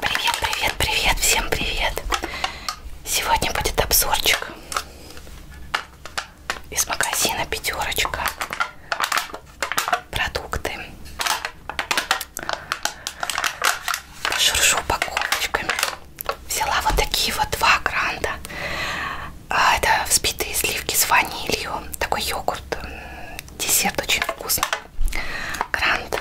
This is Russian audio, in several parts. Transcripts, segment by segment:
Привет, привет, привет, всем привет! Сегодня будет обзорчик из магазина Пятерочка. Продукты. Пошуршу упаковочками. Взяла вот такие вот два гранда. А, это взбитые сливки с ванилью. Такой йогурт. Десерт очень вкусный. Грант.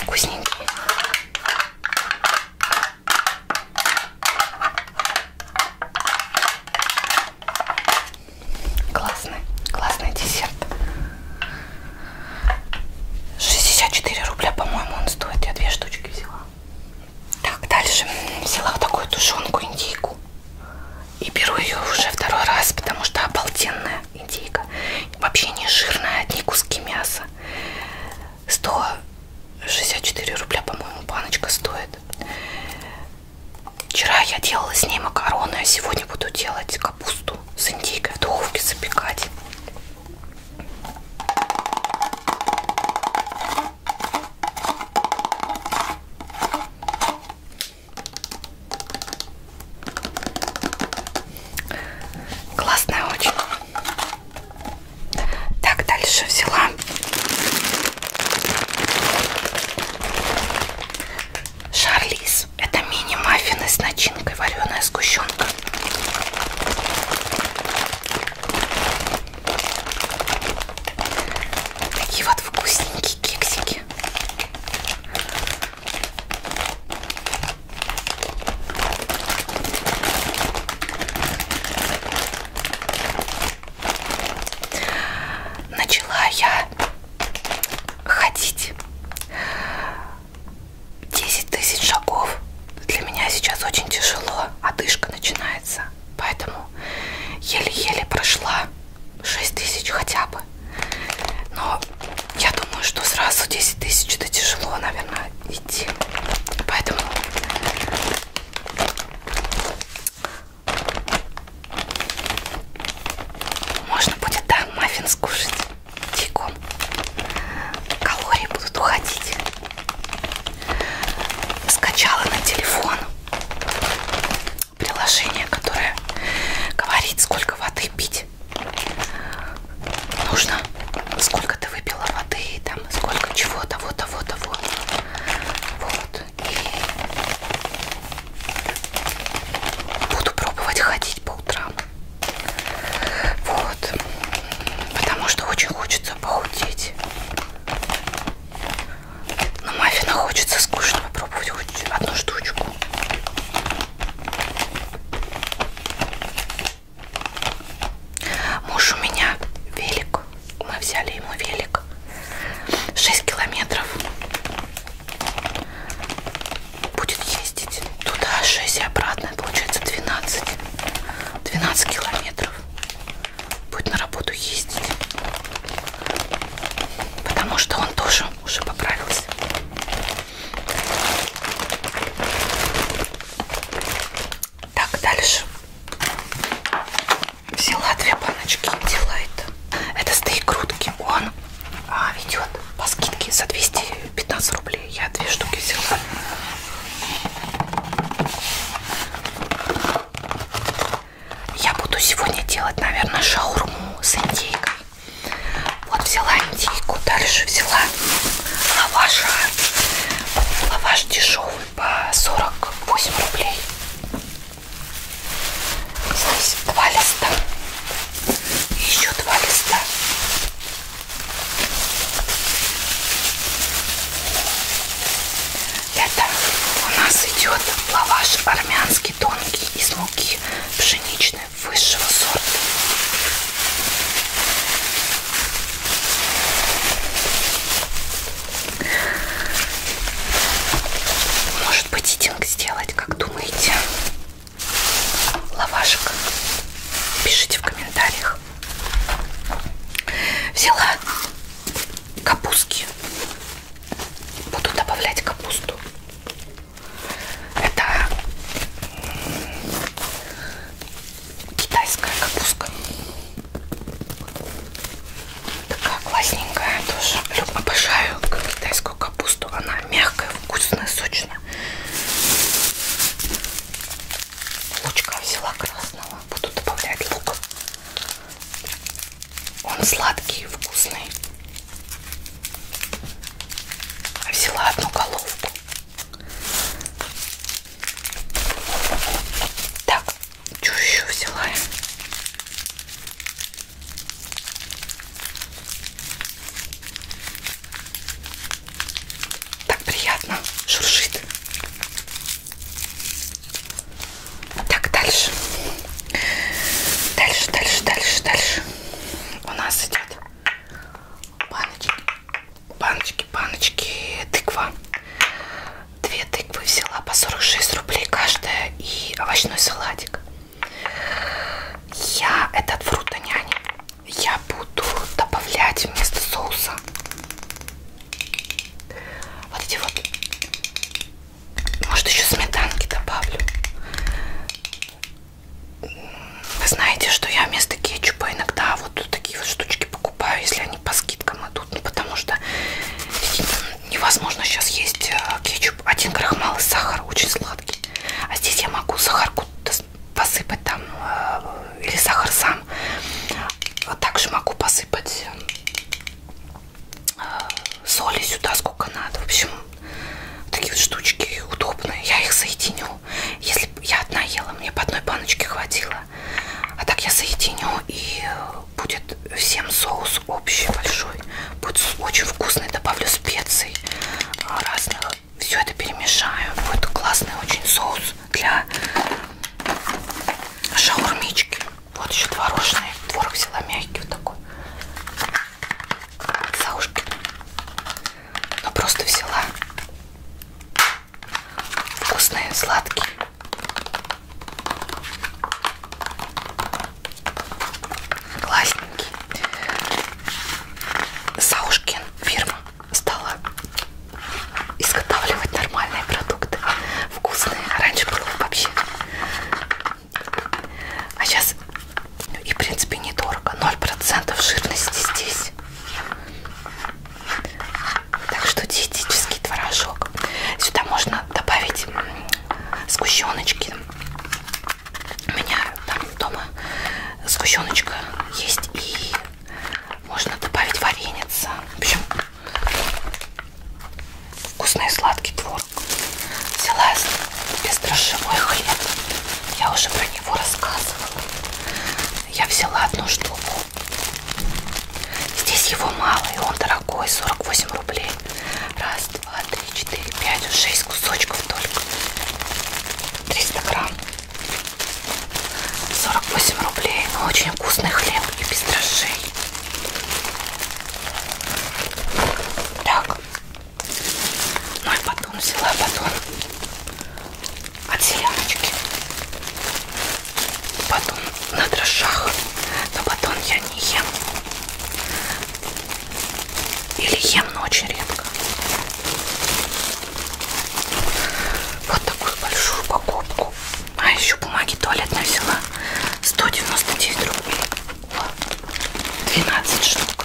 Вкусненький. Классный, классный десерт. 64 рубля, по-моему, он стоит. Я две штучки взяла. Так, дальше взяла вот такую тушенку индейку. И беру ее уже второй раз, потому что обалденная индейка. Вообще не жирная, одни куски мяса. 164 рубля, по-моему, баночка стоит. Вчера я делала с ней макароны, а сегодня буду делать капусту с индейкой в духовке запекать. Классная очень. Так, дальше взяла Шарлиз. Фикс. Это мини-маффины с начинкой вареная сгущенка. Такие вот вкусненькие кексики. Начала я ходить 10 тысяч шагов для меня сейчас очень тяжело, одышка начинается, поэтому еле-еле прошла 6 тысяч хотя бы. Но я думаю, что сразу 10 тысяч это тяжело, наверное, идти. Поэтому можно будет, да, маффин скушать чайком калории будут уходить. Скачала на телефон приложение, которое говорит, сколько воды пить нужно, сколько ты выпила воды, там сколько чего, того, того, того. Вот. И Буду пробовать ходить по утрам. Вот. Потому что очень хочется похудеть. Но маффина хочется скучно попробовать хоть одну штучку. Муж у меня велик. Мы взяли ему велик. 6 километров будет ездить туда 6 и обратно, получается 12, 12 километров будет на работу ездить, потому что он тоже уже поправился. Так, дальше взяла две баночки Дилайта. Это стейк грудки, он а, идет по скидке за 215 рублей. Я две штуки взяла. Я буду сегодня делать, наверное, шаурму с индейкой. Вот взяла индейку, дальше взяла лаваша. Лаваш дешевый по 48 рублей. Здесь два листа. И еще два листа. Это у нас идет лаваш армянский тонкий из муки пшеничной высшего сорта. Может может быть идинг сделать, как думаете? Лавашек. Пишите в комментариях. Взяла капустки. Буду добавлять капусту. Это китайская капуста. Такая классненькая тоже. Люблю, обожаю китайскую капусту. Она мягкая, вкусная, сочная. Лучка взяла красного. Буду добавлять лук. Он сладкий, вкусный. А взяла одну головку. Так, что еще взяла я? Так приятно шуршит. Так, дальше. Дальше, дальше, дальше, дальше. У нас идет баночки, баночки, баночки, тыква. Две тыквы взяла по 46 рублей каждая и овощной салатик. Я этот фрутоняня а я буду добавлять вместо соуса вот эти вот. Может еще сметанки добавлю. Вы знаете, что я вместо кетчупа иногда вот такие вот штучки покупаю покупаю, если они по скидкам идут, ну, потому что невозможно сейчас есть э, кетчуп, один крахмал и сахар, очень сладкий, а здесь я могу сахарку посыпать там, э, или сахар сам, также могу посыпать э, соли сюда сколько надо, в общем, такие вот штучки удобные, я их соединю, если я одна ела, мне по одной баночке хватило, а так я соединю и будет всем соус общий большой. Будет очень вкусный. Добавлю специй а, разных. Все это перемешаю. Будет классный очень соус для шаурмички. Вот еще творожный. Творог взяла мягкий вот такой. От Саушкина. Но ну, просто взяла вкусные, сладкие. Классненький. Саушкин фирма стала изготавливать нормальные продукты. Вкусные. Раньше было вообще. А сейчас ну, и в принципе недорого. 0% жирности здесь. Так что диетический творожок. Сюда можно добавить сгущеночки. У меня там дома сгущеночка есть и можно добавить вареница. В общем, вкусный сладкий творог. Взяла бездрожжевой хлеб. Я уже про него рассказывала. Я взяла одну штуку. Здесь его мало, и он дорогой, 48 рублей. Раз, два, три, четыре, пять, шесть кусочков только. 300 грамм. 48 рублей, но ну, очень вкусный хлеб и без дрожжей. Так. Ну и потом взяла потом от селяночки. Батон на дрожжах, но батон я не ем. Или ем, но очень редко. Вот такую большую упаковку. А еще бумаги туалетной взяла. 199 рублей. 12 штук.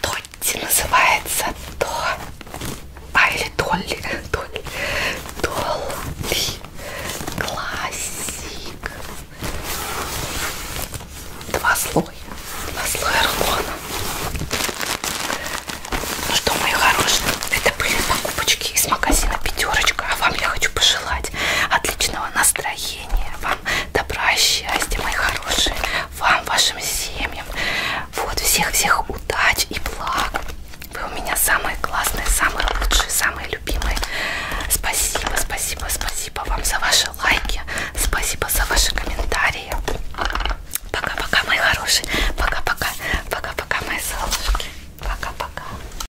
Тотти называется то. А или Долли. Долли. Долли. Классик. Два слоя. Два слоя рулона. Ну что, мои хорошие, это были покупочки из магазина Пятерочка. А вам я хочу пожелать пожелать отличного настроения, вам добра, счастья, мои хорошие, вам, вашим семьям. Вот, всех-всех удач и благ. Вы у меня самые классные, самые лучшие, самые любимые. Спасибо, спасибо, спасибо вам за ваши лайки. Спасибо за ваши комментарии. Пока-пока, мои хорошие. Пока-пока. Пока-пока, мои солнышки. Пока-пока.